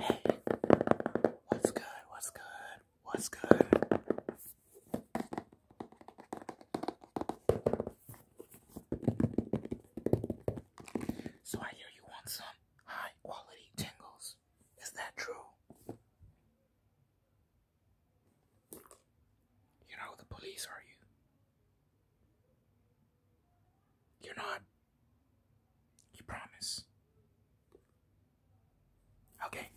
Hey, what's good? What's good? What's good? So I hear you want some high quality tingles. Is that true? You're the police, are you? You're not you promise? Okay.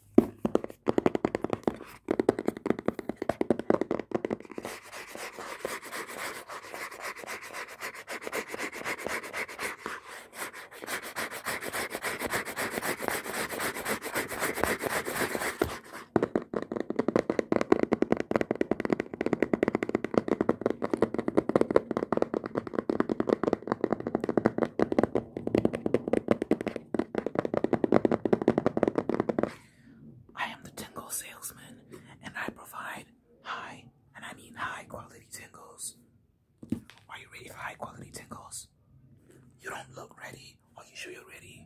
I am the tingle salesman and I provide high, and I mean high quality tingles. Are you ready for high quality tingles? You don't look ready. Are you sure you're ready?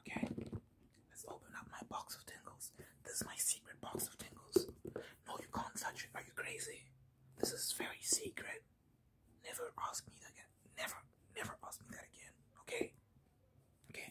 Okay, let's open up my box of tingles. This is my secret box of tingles. No, you can't touch it. Are you crazy? This is very secret. Never ask me that again. Never, never ask me that again. Okay? Okay.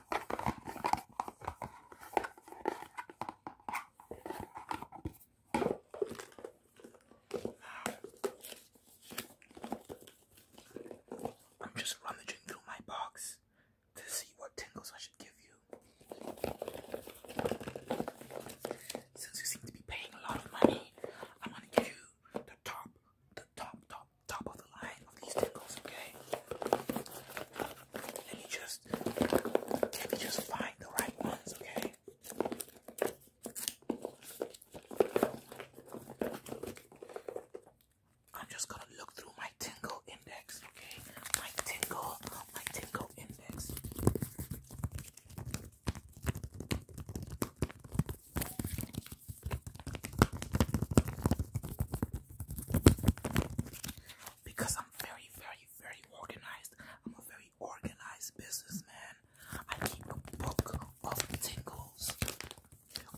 I'm just rummaging through my box to see what tingles I should give you. Since you seem to be paying a lot of money, I'm gonna give you the top, the top, top, top of the line these tickles, okay? Let me just let me just find the right ones, okay? I'm just gonna look through my tingle index, okay? My tingle, my tingle index because I'm very, very, very organized. I'm a very organized businessman. I keep a book of tingles.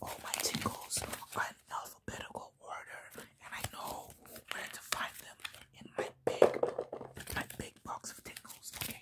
All my tingles are in alphabetical order, and I know where to find them in my big, my big box of tingles. Okay.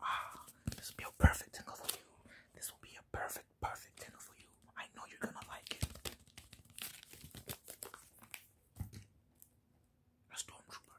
Ah, this will be a perfect tingle for you. This will be a perfect, perfect tingle for you. I know you're gonna like it. A stormtrooper.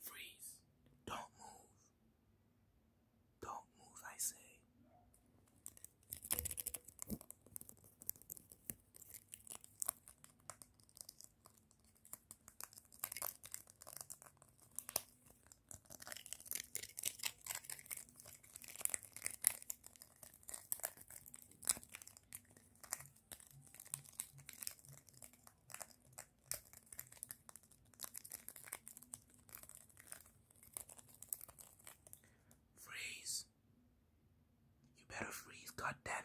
Freeze. Don't move. Don't move, I say. Freeze. You better freeze, god damn it.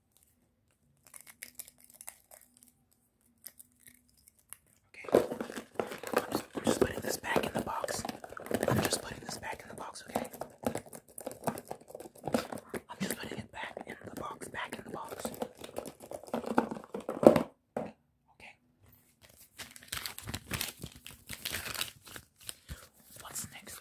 Okay. I'm just, putting this back in the box. I'm just putting this back in the box, okay? I'm just putting it back in the box, back in the box. Okay. What's next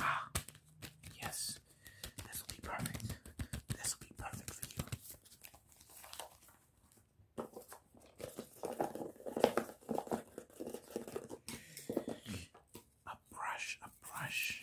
Ah, yes this. will be perfect. This will be perfect for you. A brush, a brush.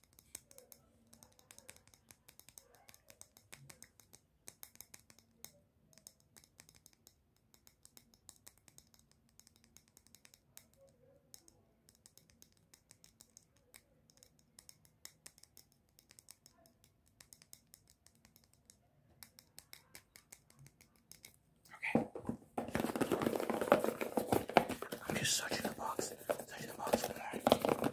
Okay. I'm just searching the box, searching the box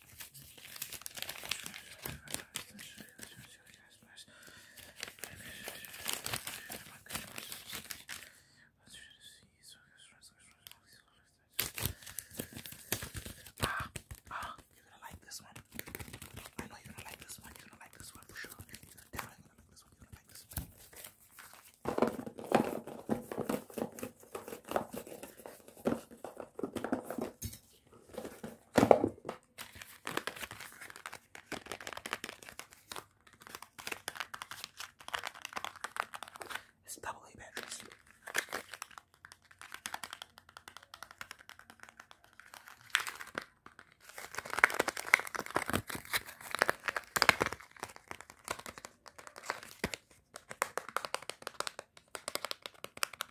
Ah, ah, you're gonna like this one. I know you're gonna like this one. You're gonna like this one for sure. You're definitely gonna like this one. You're gonna like this one. It's double A batteries.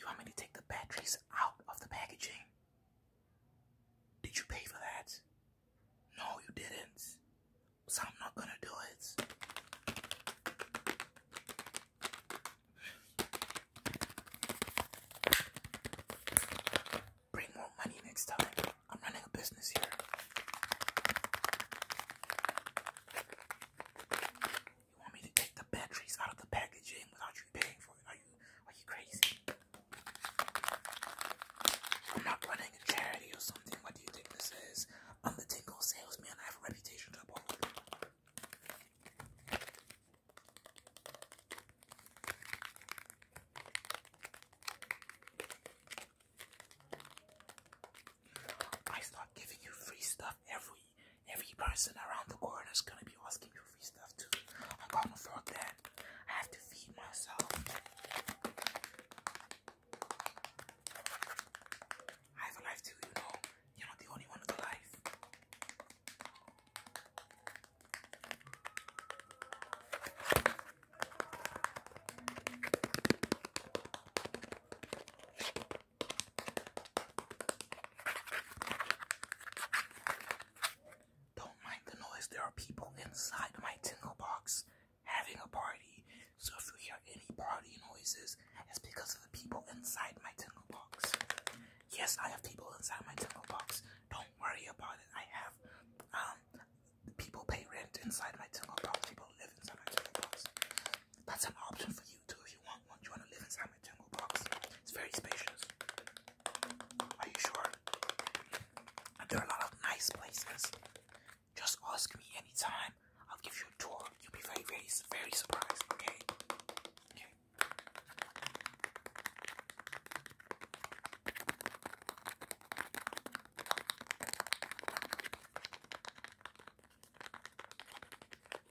You want me to take the batteries out of the packaging? Did you pay for that? No, you didn't. So I'm not gonna do it. Bring more money next time. I'm running a business here. You want me to take the batteries out of the packaging without you paying for it? are you crazy? I'm not running a charity or something. What do you think this is? I'm the tingle salesman. I have a reputation to uphold. I start giving you free stuff every Every person around the corner is gonna be asking for free stuff too. I can't afford that. I have to feed myself. I have a life too, you know. You're not the only one with a life. Don't mind the noise, there are people inside my tingle box having a party. So if you hear any party noises, it's because of the people inside my tingle box. Yes, I have people inside my tingle box. Don't worry about it. I have um people pay rent inside my tingle box. People live inside my tingle box. That's an option for you too if you want one. You want to live inside my tingle box. It's very spacious. Are you sure? There are a lot of nice places. Just ask me anytime. I'll give you a tour. You'll be very, very, very surprised. Okay. Okay.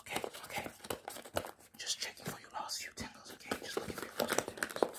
Okay, okay. Just checking for your last few tingles, okay? Just looking for your last few tingles.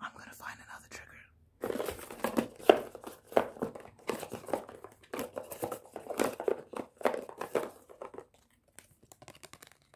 I'm going to find another trigger.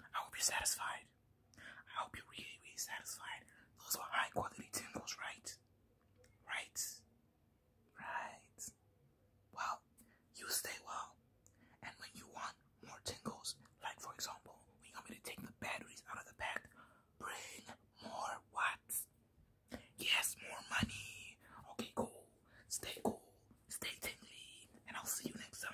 I hope you're satisfied. I hope you're really, really satisfied. Those are high quality tingles, right? Right? Right. Well, you stay well. And when you want more tingles, like for example, when you want me to take the batteries out of the pack, bring more what? Yes, more money. Okay, cool. Stay cool. Stay tingly. And I'll see you next time.